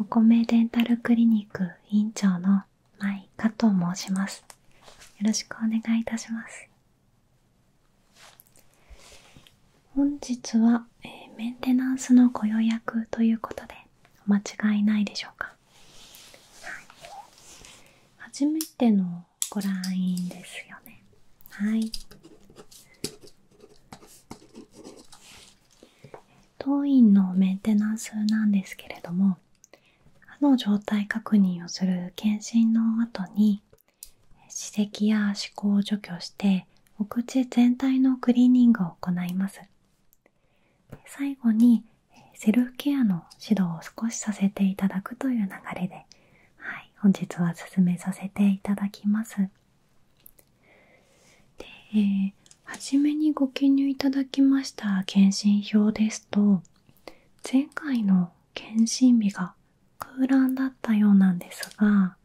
お米デンタルクリニック院長の舞香と申しますよろしくお願いいたします本日は、えメンテナンスのご予約ということでお間違いないでしょうか、はい、初めてのご来院ですよねはい当院のメンテナンスなんですけれども歯の状態確認をする検診の後に歯石や歯垢を除去してお口全体のクリーニングを行います最後にセルフケアの指導を少しさせていただくという流れで、はい、本日は進めさせていただきますで、初めにご記入いただきました検診票ですと前回の検診日が空欄だったようなんですが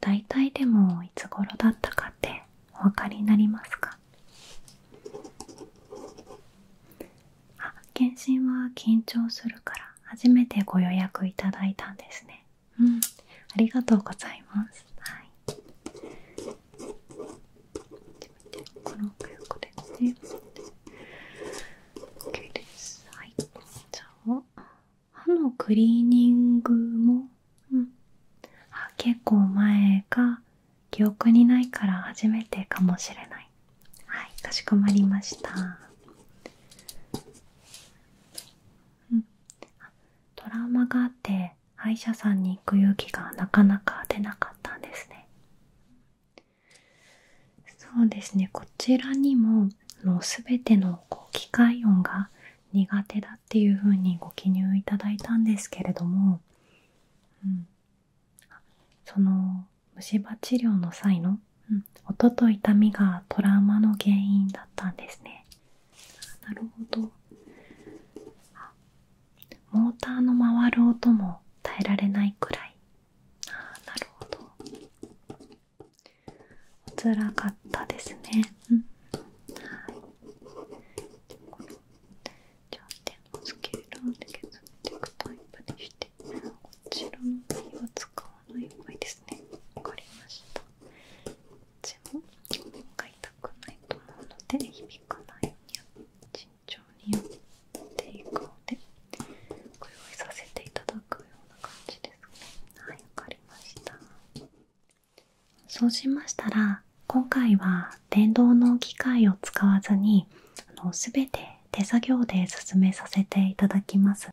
大体でもいつ頃だったかってお分かりになりますかあ検診は緊張するから初めてご予約いただいたんですねうん、ありがとうございます。はい。こはい。じゃあ歯のクリーニングも、うん、あ結構前が記憶にないから初めてかもしれない。はい、かしこまりました。うん、トラウマがあって歯医者さんに行く勇気がなかなか出なかったんですねそうですねこちらにもの全てのこう機械音が苦手だっていうふうにご記入いただいたんですけれども、うん、その虫歯治療の際の、うん、音と痛みがトラウマの原因だったんですねなるほどあモーターの回る音も耐えられないくらいああなるほどつらかったですねはいじゃあ手のスけーで、を削っていくタイプにしてこちらの耳は使わない方がいいですねわかりましたちも回痛くないと思うので響かないように慎重にやっていくのでご用意させていただくような感じですねはいわかりましたそうしましたら今回は電動の機械を使わずにあの全て手作業で進めさせていただきます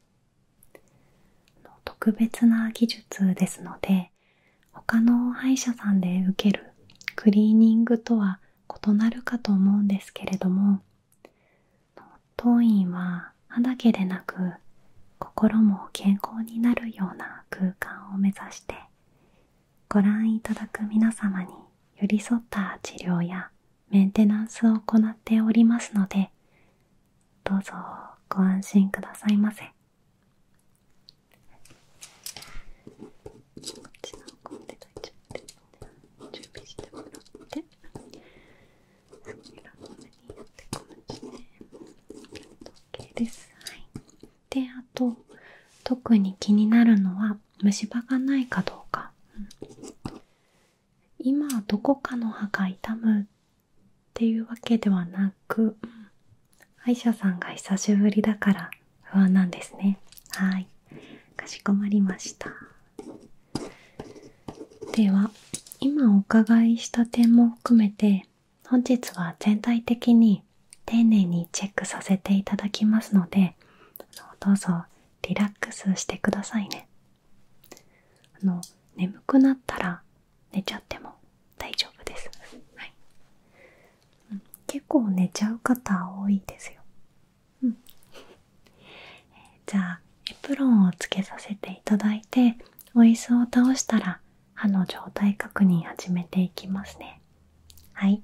特別な技術ですので他の歯医者さんで受けるクリーニングとは異なるかと思うんですけれども当院は歯だけでなく心も健康になるような空間を目指してご覧いただく皆様に寄り添った治療やメンテナンスを行っておりますのでどうぞご安心くださいませ。こっちのコンテナちゃって準備してもらってそれらの上にやってこまして、ではいであと特に気になるのは虫歯がないかどうか、今どこかの歯が痛っていうわけではなく、歯医者さんが久しぶりだから不安なんですねはいかしこまりましたでは今お伺いした点も含めて本日は全体的に丁寧にチェックさせていただきますのでどうぞリラックスしてくださいねあの眠くなったら寝ちゃっても大丈夫です、はい結構寝ちゃう方多いですよ、うん、じゃあエプロンをつけさせていただいてお椅子を倒したら歯の状態確認始めていきますねはい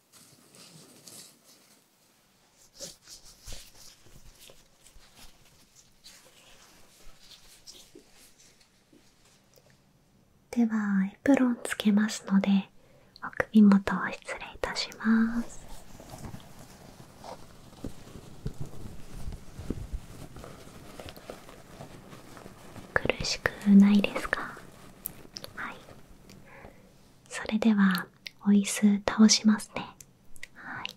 ではエプロンつけますのでお首元を失礼いたします。苦しくないですかはいそれではお椅子倒しますねはい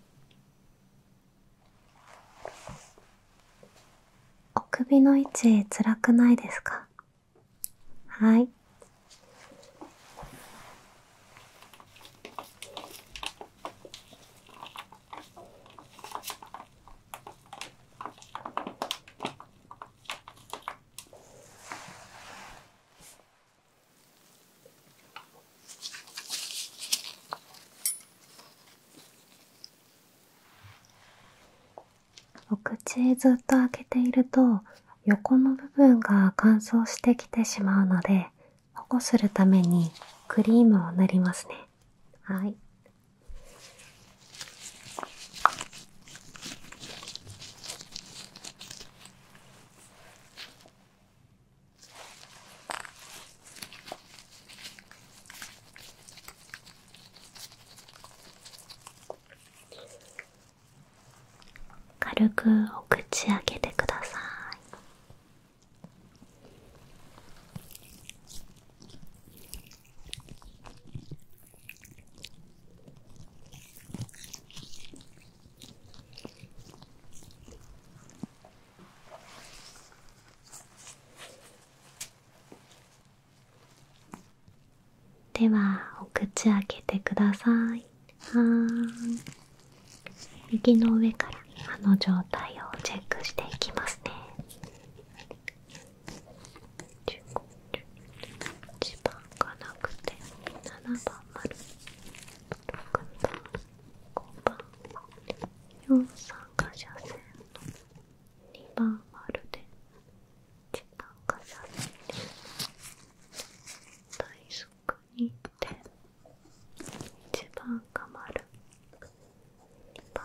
お首の位置辛くないですかはいお口ずっと開けていると横の部分が乾燥してきてしまうので保護するためにクリームを塗りますねはい軽くお口開けてください。ではお口開けてくださいは右の上から歯の状態をチェックしていきますね1番がなくて7番丸6番5番4三が斜線の2番丸で1番が斜線対側に点1番が丸2番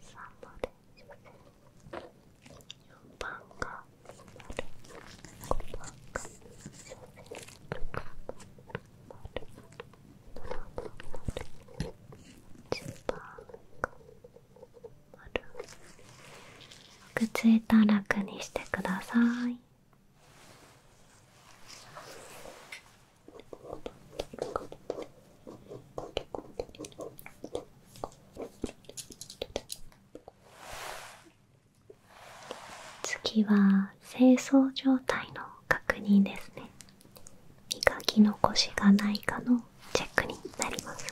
3番で4番が丸5番が正面10番が丸くっついたら楽にしてください。次は清掃状態の確認ですね磨き残しがないかのチェックになります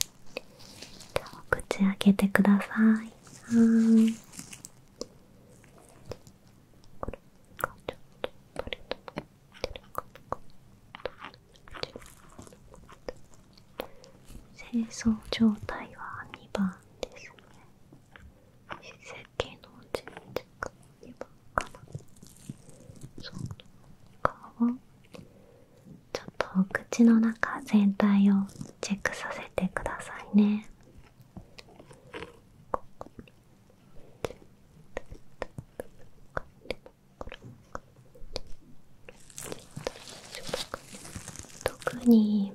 じゃあ口開けてくださいはい清掃状態は2番ですね。席のの他はちょっとお口の中全体をチェックさせてくださいね。特に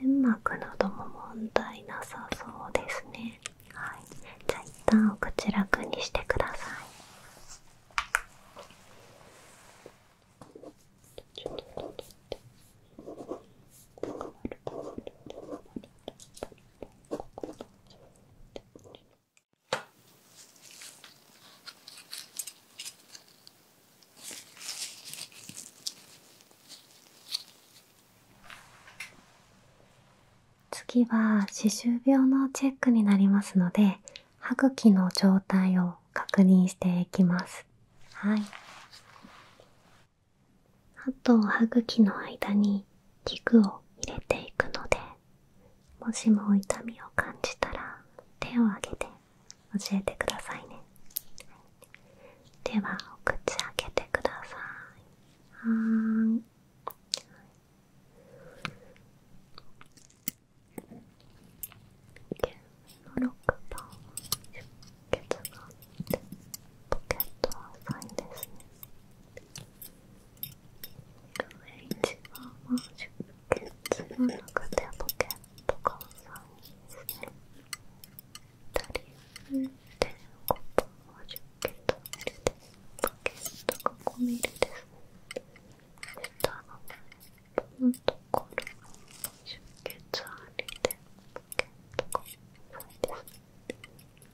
粘膜なども問題なさそうですねはいじゃあ一旦お口楽にしてください次は歯周病のチェックになりますので歯茎の状態を確認していきますはと歯茎の間に器具を入れていくのでもしも痛みを感じたら手を上げて教えてくださいねではお口開けてくださいはーいケン6番出血があってポケットは浅いですね一番は出血の中でポケットが3人ですね2人で5本は出血ミルでポケットが5ミリです下の根本のところ出血ありでポケットが5ミリです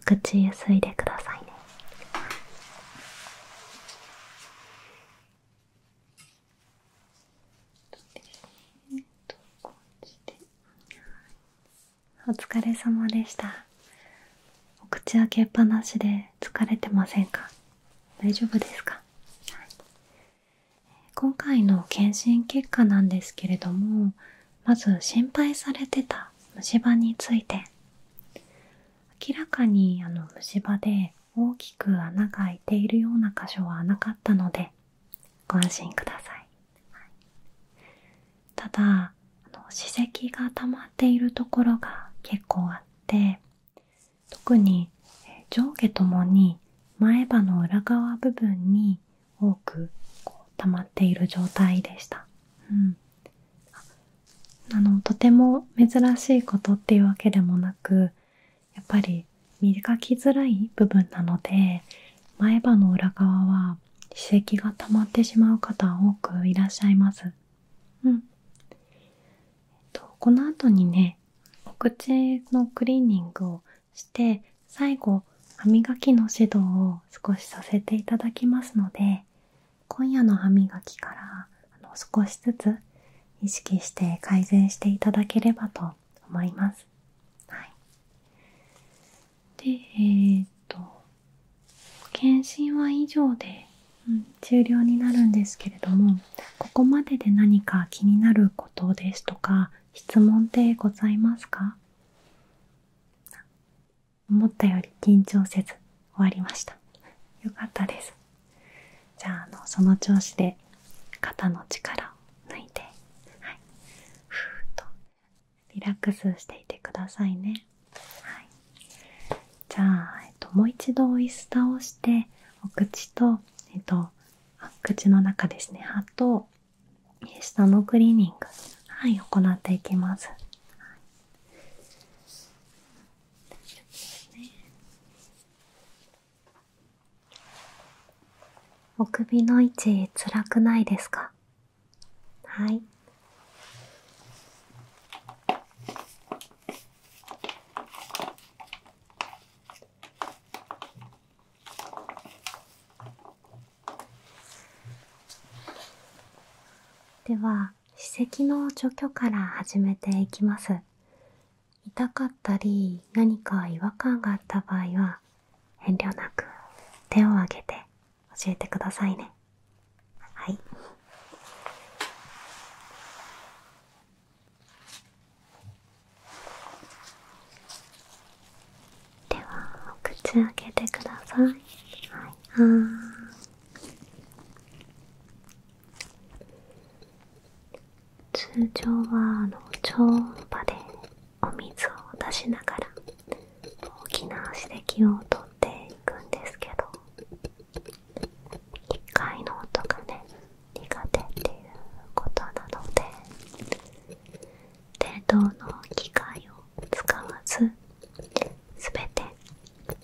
お口ゆすでくださいね。お疲れ様でした。お口開けっぱなしで疲れてませんか大丈夫ですか、今回の検診結果なんですけれどもまず心配されてた虫歯について明らかにあの虫歯で大きく穴が開いているような箇所はなかったのでご安心ください、ただあの歯石が溜まっているところが結構あって特に上下ともに前歯の裏側部分に多くこう溜まっている状態でした、うんあのとても珍しいことっていうわけでもなくやっぱり磨きづらい部分なので前歯の裏側は歯石が溜まってしまう方多くいらっしゃいます。うんと、この後にねお口のクリーニングをして最後歯磨きの指導を少しさせていただきますので今夜の歯磨きからあの少しずつ意識して改善していただければと思います。でえっと検診は以上で、うん、終了になるんですけれどもここまでで何か気になることですとか質問ってございますか思ったより緊張せず終わりましたよかったですじゃああのその調子で肩の力を抜いてはーっとリラックスしていてくださいねじゃあ、えっと、もう一度オイスターをしてお口とえっと口の中ですね歯と下のクリーニングはい行っていきますね、お首の位置辛くないですかはいでは歯石の除去から始めていきます痛かったり何か違和感があった場合は遠慮なく手を挙げて教えてくださいねはいではお口開けてください通常はあの超音波でお水を出しながら大きな刺激をとっていくんですけど1回の音がね苦手っていうことなので程度の機械を使わずすべて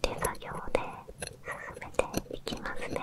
手作業で進めていきますね。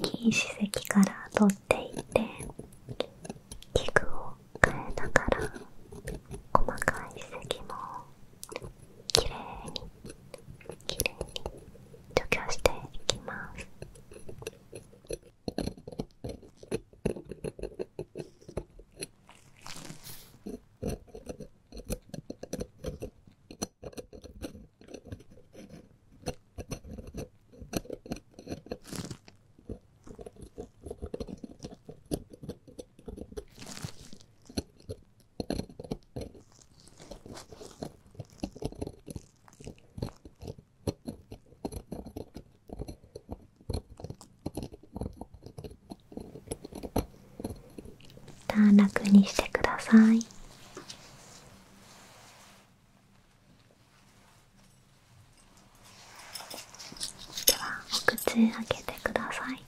大きい歯石から取っていって器具を変えながら細かい歯石もきれいにきれいに除去していきます。また楽にしてくださいではお口開けてください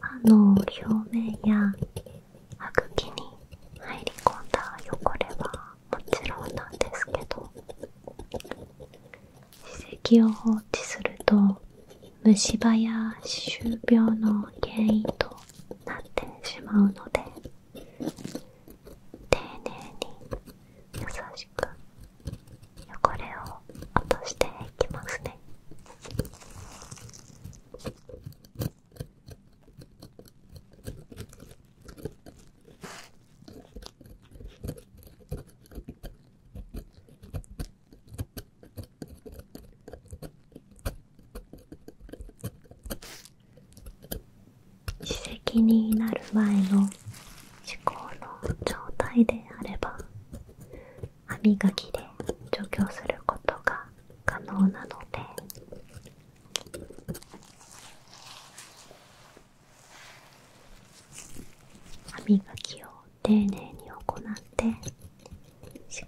歯の表面や歯茎に入り込んだ汚れはもちろんなんですけど歯石を放置すると虫歯や歯周病の原因となってしまうので丁寧に優しく汚れを落としていきますね。歯石になる前の思考の状態であれば歯磨きで除去することが可能なので歯磨きを丁寧に行って思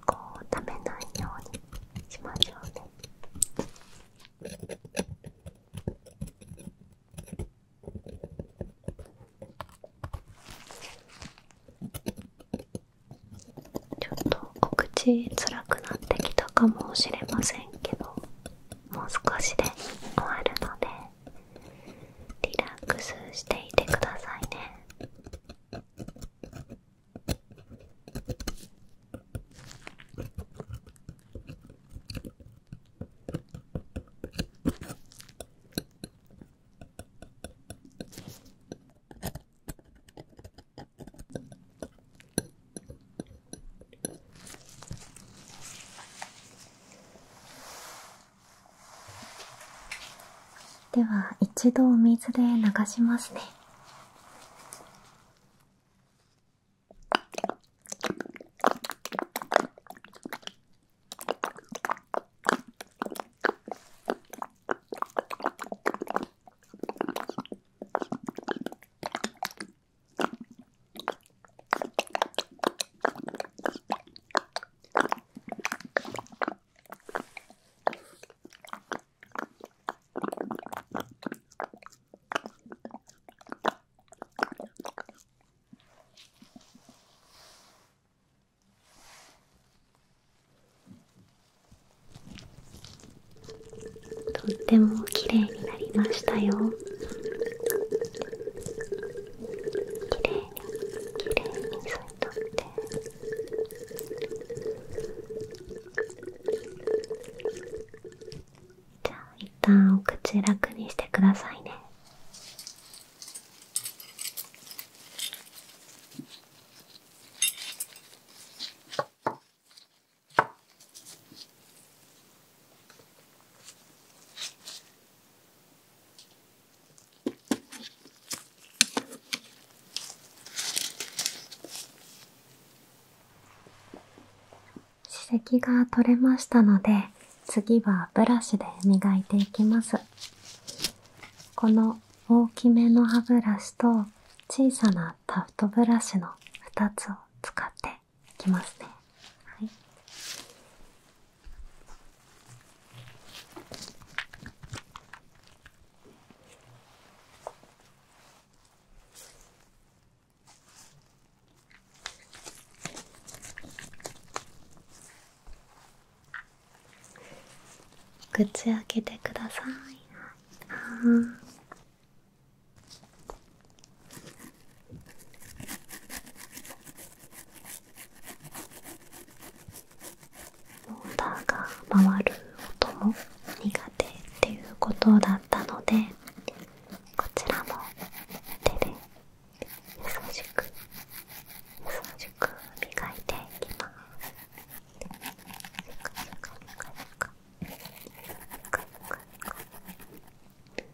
考をためないようにしましょうね。ちょっとお口辛くなってきたかもしれませんけどもう少しで終わるのでリラックスしていてくださいね。では一度お水で流しますねとっても綺麗になりましたよ綺麗きれいに添えとってじゃあ一旦お口楽にしてくださいね歯石が取れましたので次はブラシで磨いていきますこの大きめの歯ブラシと小さなタフトブラシの2つを使っていきますね、はい、口開けてくださいあモーターが回る音も苦手っていうことだったのでこちらも手で優しく優しく磨いていきます。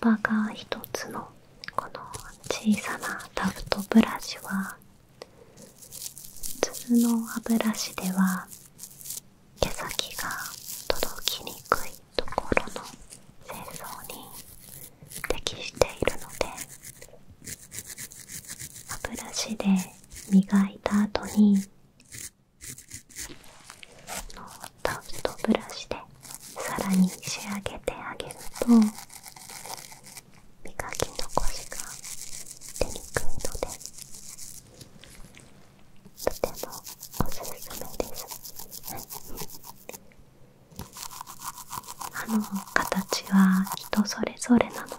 毛束が1つのこの小さなタフトブラシは普通の歯ブラシでは毛先が届きにくいところの清掃に適しているので歯ブラシで磨いた後にこのタフトブラシでさらに仕上げてあげると磨き残しが出にくいのでとてもおすすめです。あの形は人それぞれなので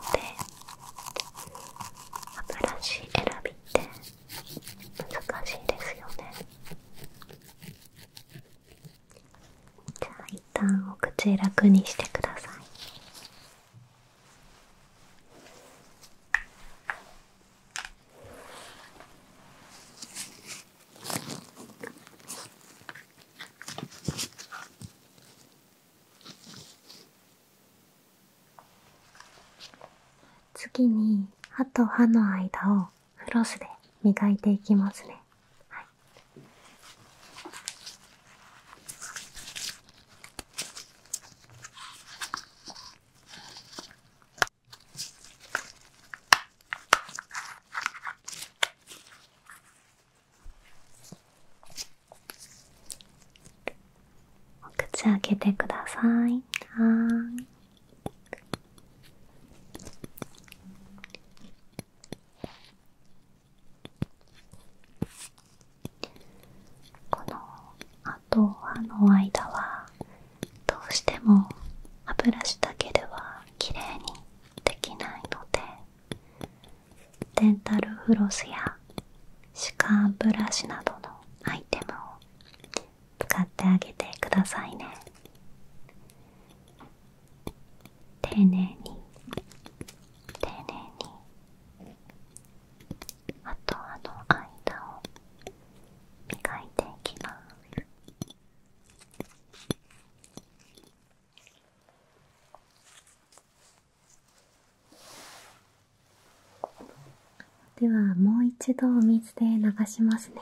新しい選びって難しいですよね。じゃあ一旦お口楽にしてください次に歯と歯の間をフロスで磨いていきますね。はい、お口開けてください。はい。このあとの間はどうしても歯ブラシだけでは綺麗にできないのでデンタルフロスや歯間ブラシなどのアイテムを使ってあげてくださいね丁寧に丁寧にあとあの間を磨いていきます。ではもう一度お水で流しますね。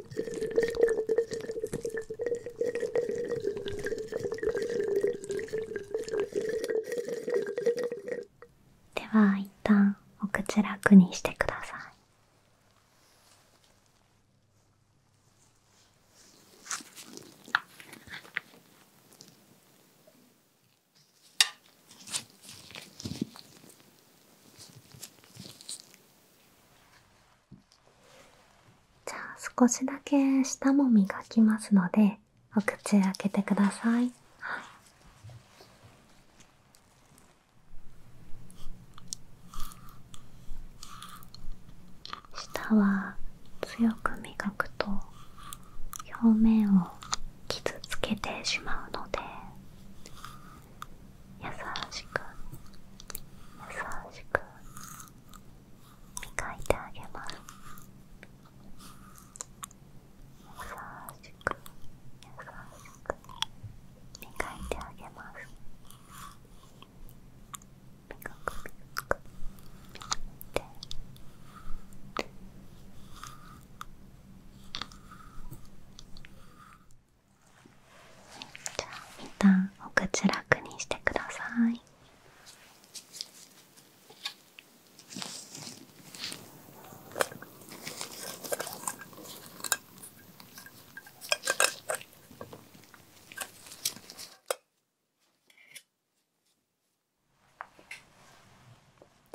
では一旦お口楽にしてください。じゃあ少しだけ舌も磨きますのでお口開けてください、い、舌は強く磨くと表面を傷つけてしまうので優しく優しく磨いてあげます優しく優しく磨いてあげます磨く磨く磨いてじゃあ一旦お口楽にしてください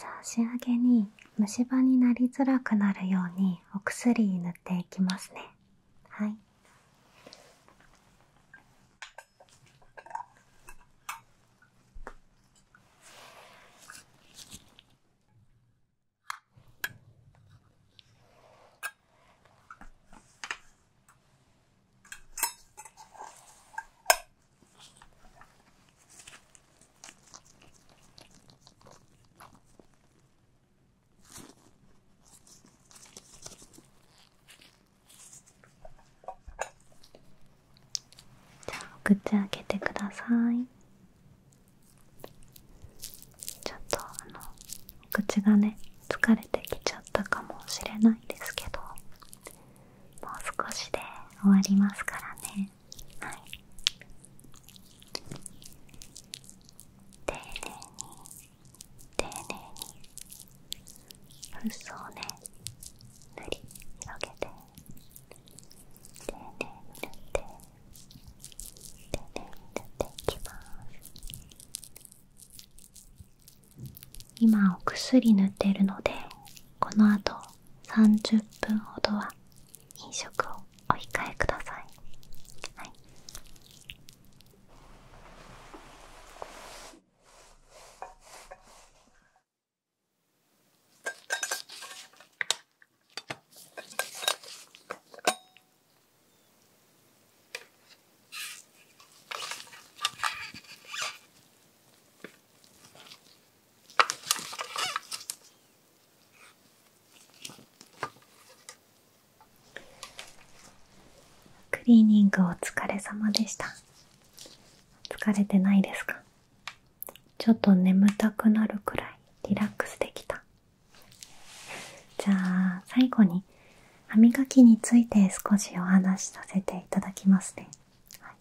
じゃあ仕上げに虫歯になりづらくなるようにお薬塗っていきますねはいじゃあ口開けてくださいちょっとあのお口がね疲れてきちゃったかもしれないですけどもう少しで終わりますからねはい丁寧に丁寧にフッ素ね塗り広げて丁寧に塗って丁寧に塗っていきます今お薬塗ってるのでこのあと30分ほどは飲食をお控えください。はいクリーニングお疲れ様でした疲れてないですかちょっと眠たくなるくらいリラックスできたじゃあ最後に歯磨きについて少しお話しさせていただきますね、はい、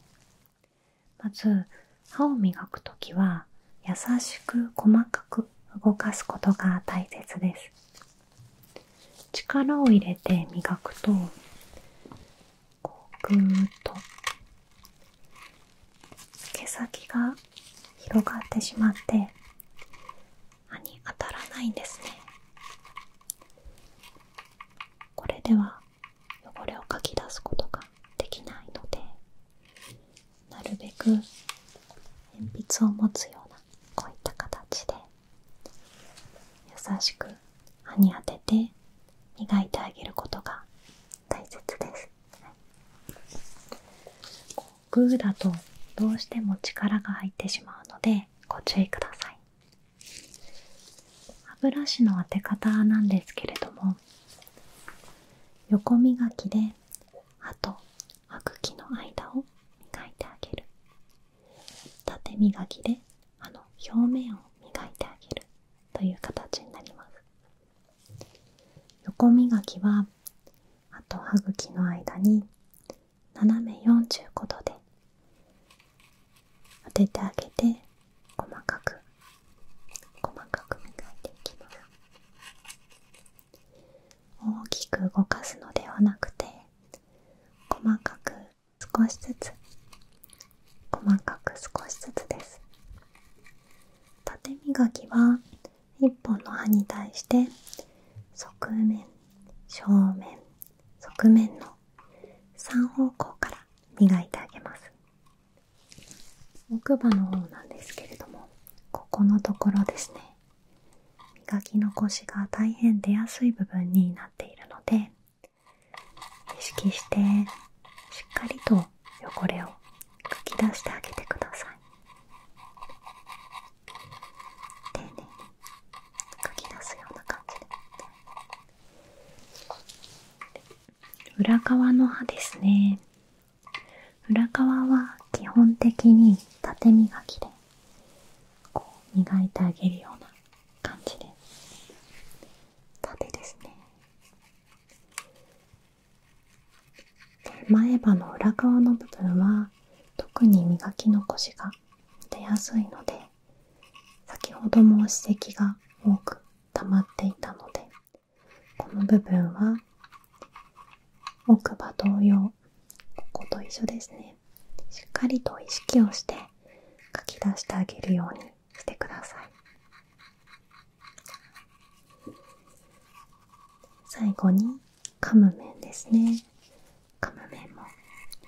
まず歯を磨くとは優しく細かく動かすことが大切です力を入れて磨くとこうぐーっと毛先が広がってしまって歯に当たらないんですねこれでは汚れをかき出すことができないのでなるべく鉛筆を持つようなこういった形で優しく歯に当てて磨いてあげることが大切です、グーだとどうしても力が入ってしまうのでご注意ください歯ブラシの当て方なんですけれども横磨きで歯と歯茎の間を磨いてあげる縦磨きで歯の表面を磨いてあげるという形になります横磨きは歯と歯茎の間に斜め45度で当ててあげて細かく細かく磨いていきます大きく動かすのではなくて細かく少しずつ細かく少しずつです縦磨きは1本の刃に対して側面正面側面の3方向から磨いてあげます奥歯の方なんですけれどもここのところですね磨き残しが大変出やすい部分になっているので意識してしっかりと汚れをかき出してあげてください丁寧にかき出すような感じで裏側の歯ですね裏側は基本的に縦磨きで磨いてあげるような感じで縦ですね前歯の裏側の部分は特に磨き残しが出やすいので先ほども歯石が多く溜まっていたのでこの部分は奥歯同様ここと一緒ですねしっかりと意識をして書き出してあげるようにしてください最後に噛む面ですね噛む面も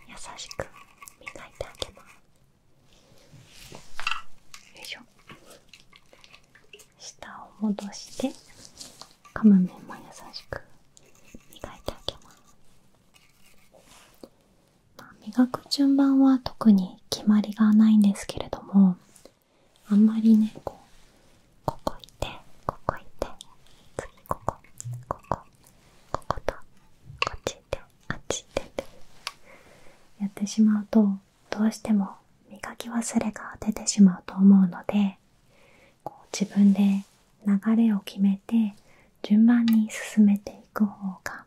優しく磨いてあげますよいしょ下を戻して噛む面も優しく磨いてあげます、あ、磨く順番は特に決まりがないんですけれどもあんまりねこうここいてここいて次こここここことこっち行ってあっち行てってやってしまうとどうしても磨き忘れが出てしまうと思うのでこう自分で流れを決めて順番に進めていく方が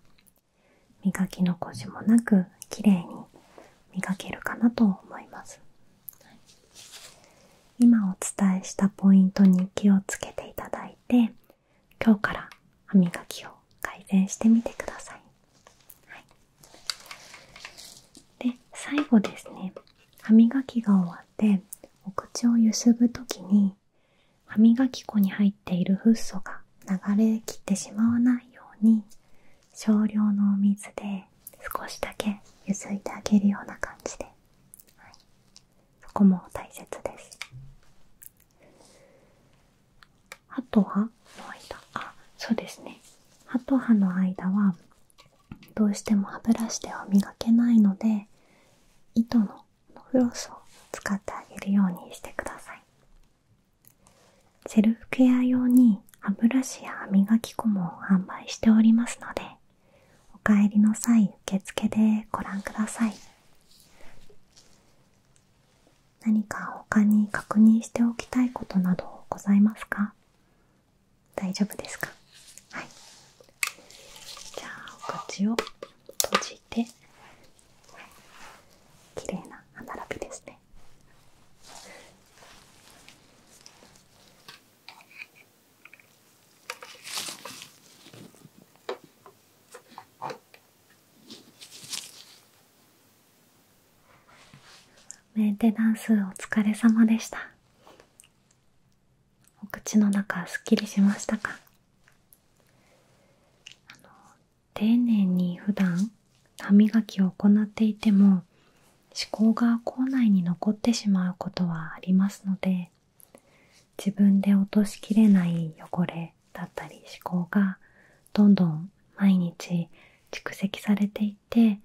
磨き残しもなく綺麗に磨けるかなと思います、今お伝えしたポイントに気をつけていただいて今日から歯磨きを改善してみてください、で最後ですね歯磨きが終わってお口をゆすぐ時に歯磨き粉に入っているフッ素が流れきってしまわないように少量のお水で少しだけゆすいてあげるような感じで、はそこも大切ですあとはの間あそうですね歯と歯の間はどうしても歯ブラシでは磨けないので糸のフロスを使ってあげるようにしてくださいセルフケア用に歯ブラシや歯磨き粉も販売しておりますのでお帰りの際受付でご覧ください何か他に確認しておきたいことなどございますか大丈夫ですかじゃあお口を閉じてきれいな歯並びですねメンテナンスお疲れ様でした口の中すっきりしましたか丁寧に普段歯磨きを行っていても思考が口内に残ってしまうことはありますので自分で落としきれない汚れだったり思考がどんどん毎日蓄積されていって、い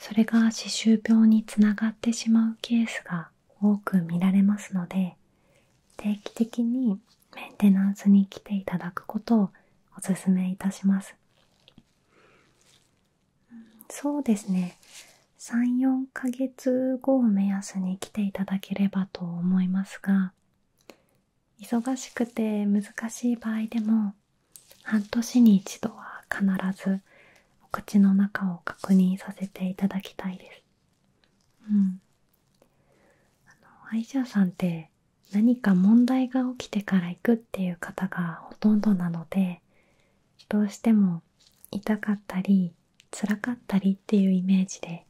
それが歯周病につながってしまうケースが多く見られますので定期的にメンテナンスに来ていただくことをおすすめいたしますそうですね34ヶ月後を目安に来ていただければと思いますが忙しくて難しい場合でも半年に一度は必ずお口の中を確認させていただきたいですうんあのアイシャさんって何か問題が起きてから行くっていう方がほとんどなのでどうしても痛かったり辛かったりっていうイメージで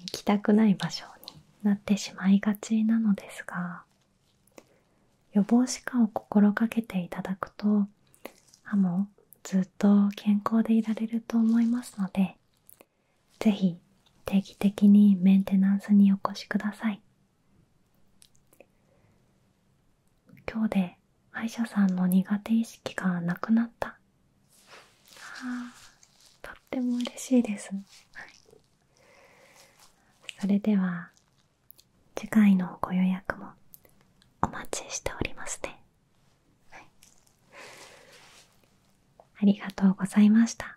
行きたくない場所になってしまいがちなのですが予防歯科を心がけていただくと歯もずっと健康でいられると思いますので是非定期的にメンテナンスにお越しください今日で歯医者さんの苦手意識がなくなったはあとっても嬉しいです、はい、それでは次回のご予約もお待ちしておりますね、はい、ありがとうございました